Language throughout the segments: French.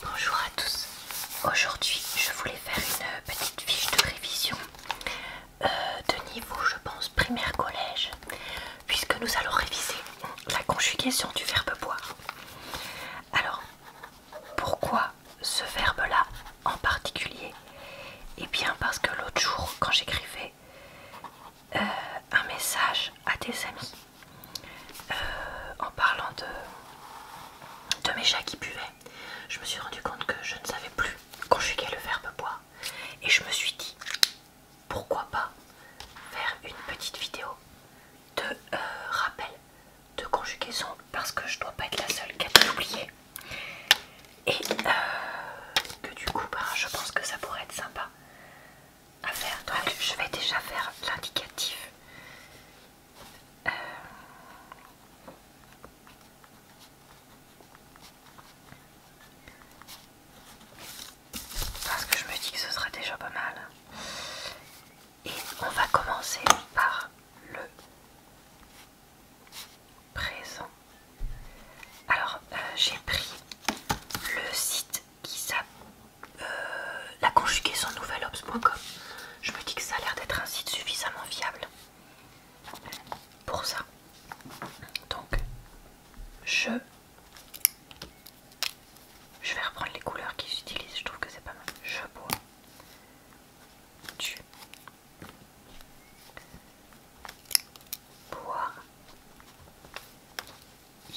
Bonjour à tous, aujourd'hui je voulais faire une petite fiche de révision euh, de niveau je pense primaire collège puisque nous allons réviser la conjugation du verbe boire. Alors pourquoi ce verbe là en particulier Et eh bien parce que l'autre jour quand j'écrivais euh, un message à tes amis euh, en parlant de, mes chats qui buvaient, je me suis rendu compte que je ne savais plus conjuguer le verbe boire. Et je me suis dit, pourquoi pas faire une petite vidéo de euh, rappel de conjugaison parce que je ne dois pas être la seule qui a oublié. Et euh, que du coup, bah, je pense que ça pourrait être sympa à faire. Donc, je vais déjà faire l'indicatif parce que je me dis que ce sera déjà pas mal. Et on va commencer par le présent. Alors, euh, j'ai pris le site qui s'appelle euh, conjugué son nouvel nouvelops.com. Je me dis que ça a l'air d'être un site suffisamment fiable pour ça. Donc, je, je vais reprendre les couleurs qu'ils utilisent. Je trouve que c'est pas mal. Je bois tu bois. Il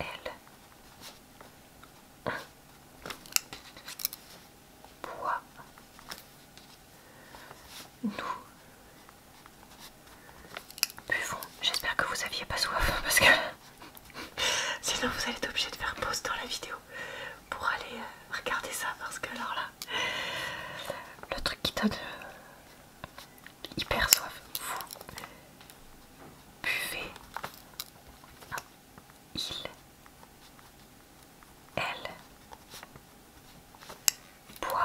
L. Bois. Nous. Buvons. J'espère que vous aviez pas soif parce que sinon vous allez être obligé de faire pause dans la vidéo pour aller euh, regarder ça parce que alors là le truc qui donne euh, hyper soif. Vous buvez. Il. Elle. Boivent.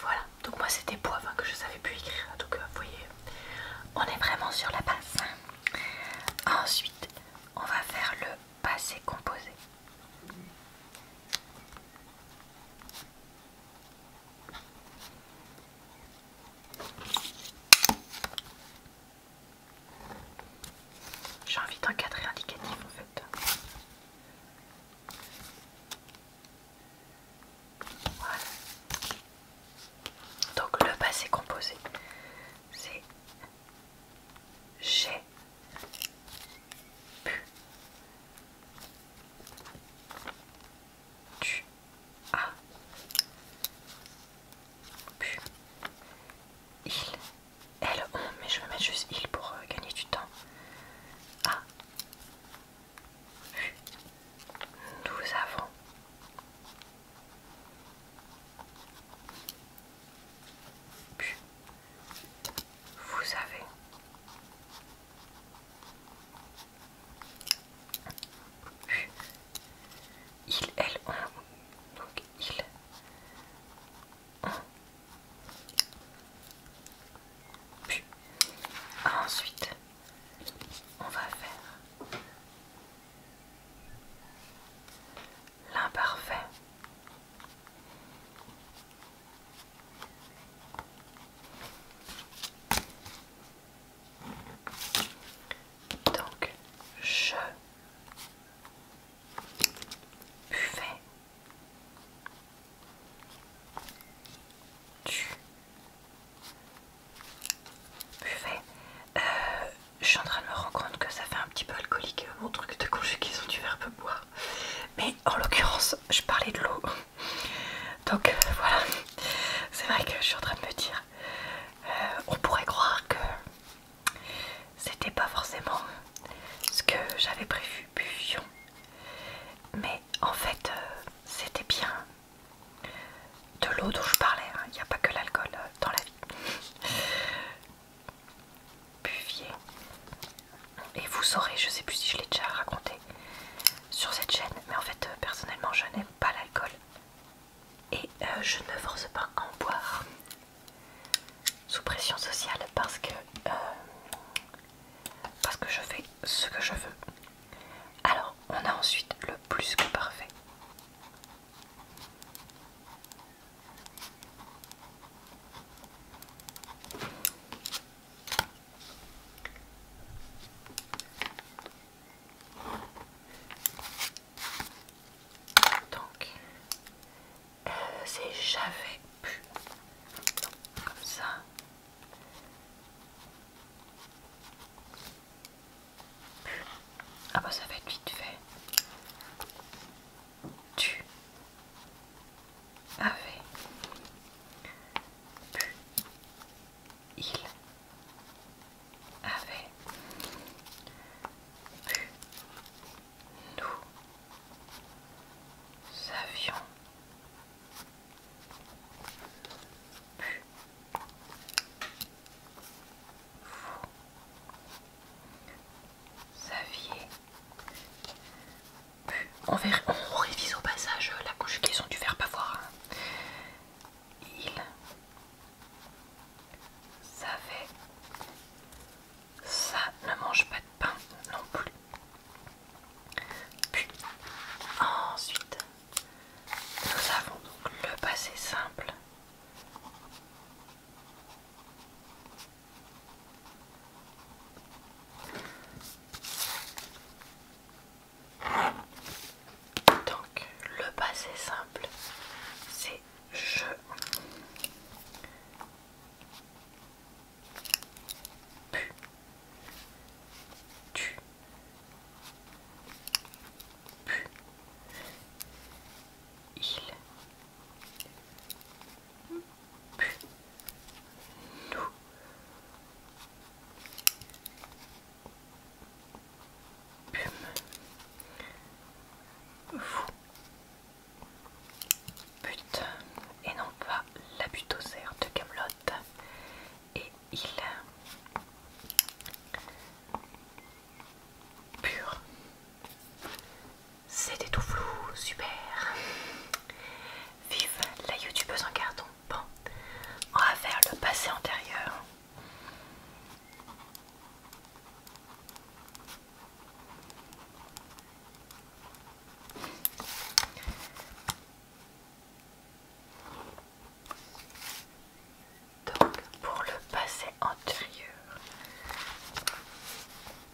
Voilà, donc moi c'était boivent hein, que je savais plus écrire. Donc vous voyez, on est vraiment sur la base. Ensuite, on va faire le passé composé. J'ai envie cadre indicatif en fait. Donc le passé composé, c'est j'ai P, tu as il elle on mais je vais mettre juste il pour gagner du temps a ah, nous avons vous avez Il ils, elles ont donc il Ensuite, on va faire l'imparfait. Donc, je buvais tu buvais euh, je suis en train de me rendre compte que ça fait un petit peu alcoolique euh, mon truc de conjugaison du verbe boire mais en l'occurrence je parlais de l'eau donc euh, voilà c'est vrai que je suis en train de me dire euh, on pourrait croire que c'était pas forcément ce que j'avais prévu buvion mais en fait euh, c'était bien de l'eau dont je parlais hein. il n'y a pas que l'alcool dans la vie Buvier. Et vous saurez, je sais plus si je l'ai déjà raconté sur cette chaîne, mais en fait, euh, personnellement, je n'aime pas l'alcool et euh, je ne force pas à en boire sous pression sociale parce que euh, parce que je fais ce que je veux. Alors, on a ensuite le plus que parfait. Donc, euh, c'est j'avais pu. comme ça. Ah bah ça va être vite fait tu avais pu il avait pu nous savions pu vous saviez On, on révise au passage euh, la couche dû du pas voir hein. Il savait. Ça ne mange pas de pain non plus. Puis ensuite, nous avons donc le passé simple donc le passé simple, c'est je. Pu. Tu. Pu. Il. Pume, vous et non pas la butosère de Camelot et il pur c'était tout flou, super. Vive la youtubeuse en carton. Bon, on va faire le passé antérieur. Donc pour le passé antérieur,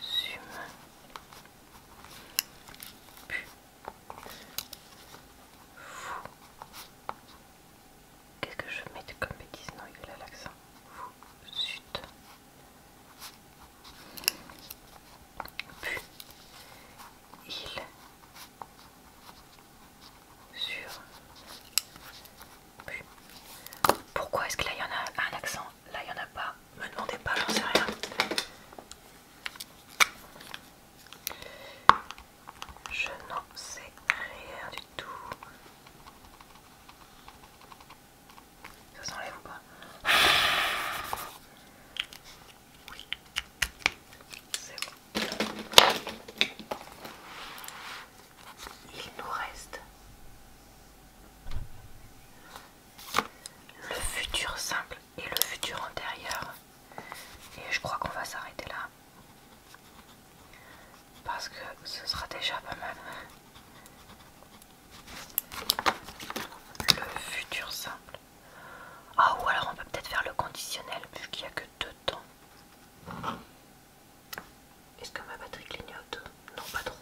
Sume. Pu. Fou. Qu'est-ce que je mets comme bêtise Non, il a l'accent. Fou. Zut. Pu. Il. Sur. Pu. Pourquoi est-ce que là il y en a un accent Là, il n'y en a pas. Me demandez pas, j'en sais rien. Je n'en sais rien du tout. Ça s'enlève ou pas Oui. C'est bon il nous reste le futur simple et le futur antérieur. Et je crois qu'on va s'arrêter là. Parce que ce sera déjà pas mal. Le futur simple. Ah, ou alors on peut peut-être faire le conditionnel, vu qu'il n'y a que deux temps. Est-ce que ma batterie clignote Non, pas trop.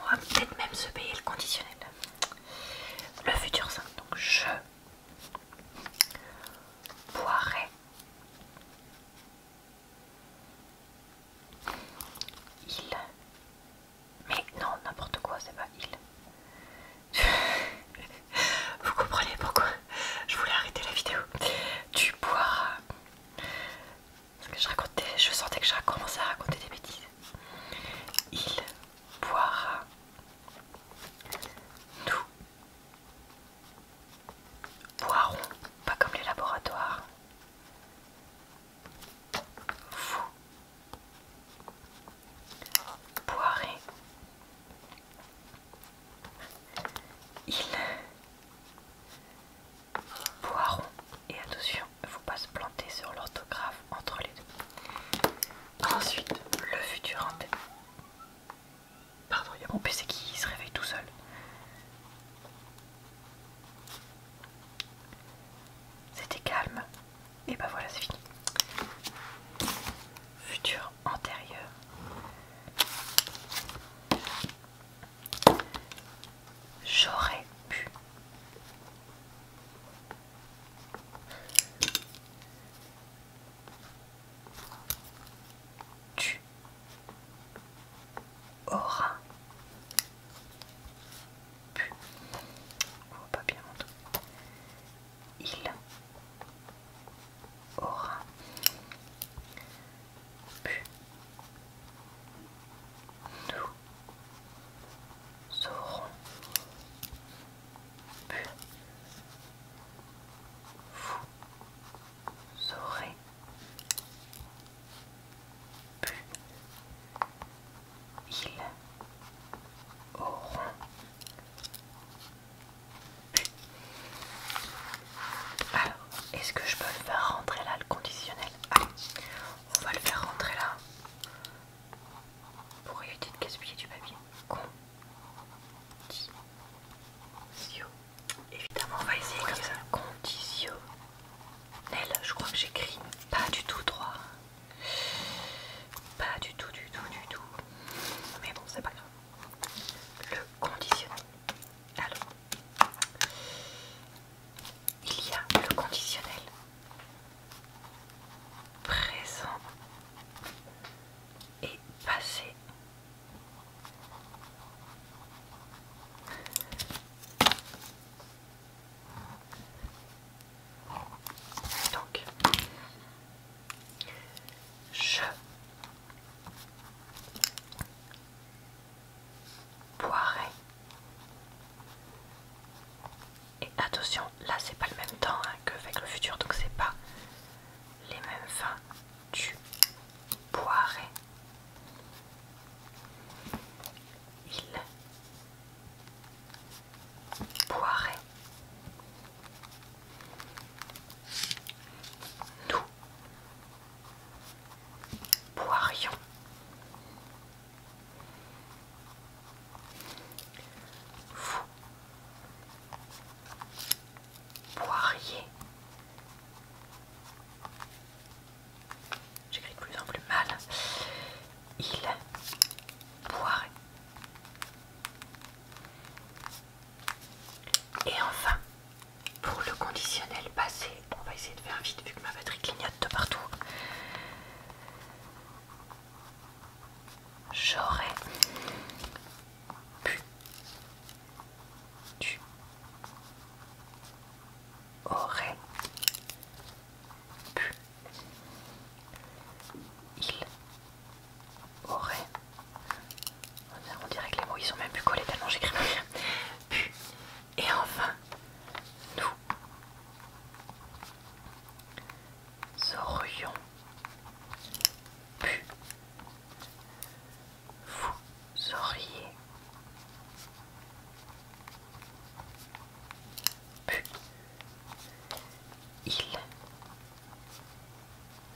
On va peut-être même se payer le conditionnel. Le futur simple. Donc je boirai il. Mais non, n'importe quoi, c'est pas il. Vous comprenez pourquoi je voulais arrêter la vidéo. Tu boiras je racontais, je sentais que je commençais à raconter des bêtises. Il boira nous boirons, pas comme les laboratoires. Vous boirez. Il Poiron. Et attention, faut pas se planter sur l'orthographe entre les deux. Ensuite, le futur antérieur. Pardon, il y a mon PC qui se réveille tout seul. C'était calme. Et bah ben voilà, c'est fini. Futur antérieur. J'aurais pu. Tu auras pu. On voit pas bien. Il aura nous aurons pu, vous aurez pu, ils auront alors, est-ce que je peux le faire rentrer là le conditionnel ah, on va le faire rentrer là pour éviter de gaspiller du papier. Condition. Évidemment, on va essayer comme ça. Conditionnel. Je crois que j'écris pas du tout droit. Pas du tout, du tout, du tout. Mais bon, c'est pas grave. Le conditionnel. Alors, il y a le conditionnel présent et passé. Donc, je Poiré. Et attention, là c'est pas le même temps hein, que avec le futur, donc c'est pas les mêmes fins Tu Poiré. Il Poiré. Nous. Poirion. Vous poirier. J'écris de plus en plus mal. Il poirait. Et enfin, pour le conditionnel passé, on va essayer de faire vite vu que ma batterie clignote de partout. J'aurais pu, tu aurais pu, il aurait. On dirait que les mots ils sont même plus collés tellement j'écris Pu. Et enfin, nous aurions pu. Vous auriez pu. Il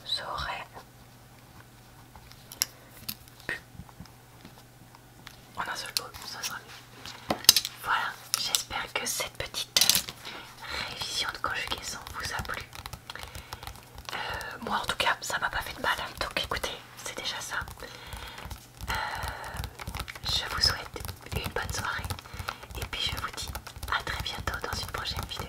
J'aurais pu. En un seul ça sera Voilà, j'espère que cette petite euh, révision de conjugaison vous a plu. Euh, moi en tout cas, ça m'a pas fait de mal. Donc écoutez, c'est déjà ça. Euh, je vous souhaite une bonne soirée et puis je vous dis à très bientôt dans une prochaine vidéo.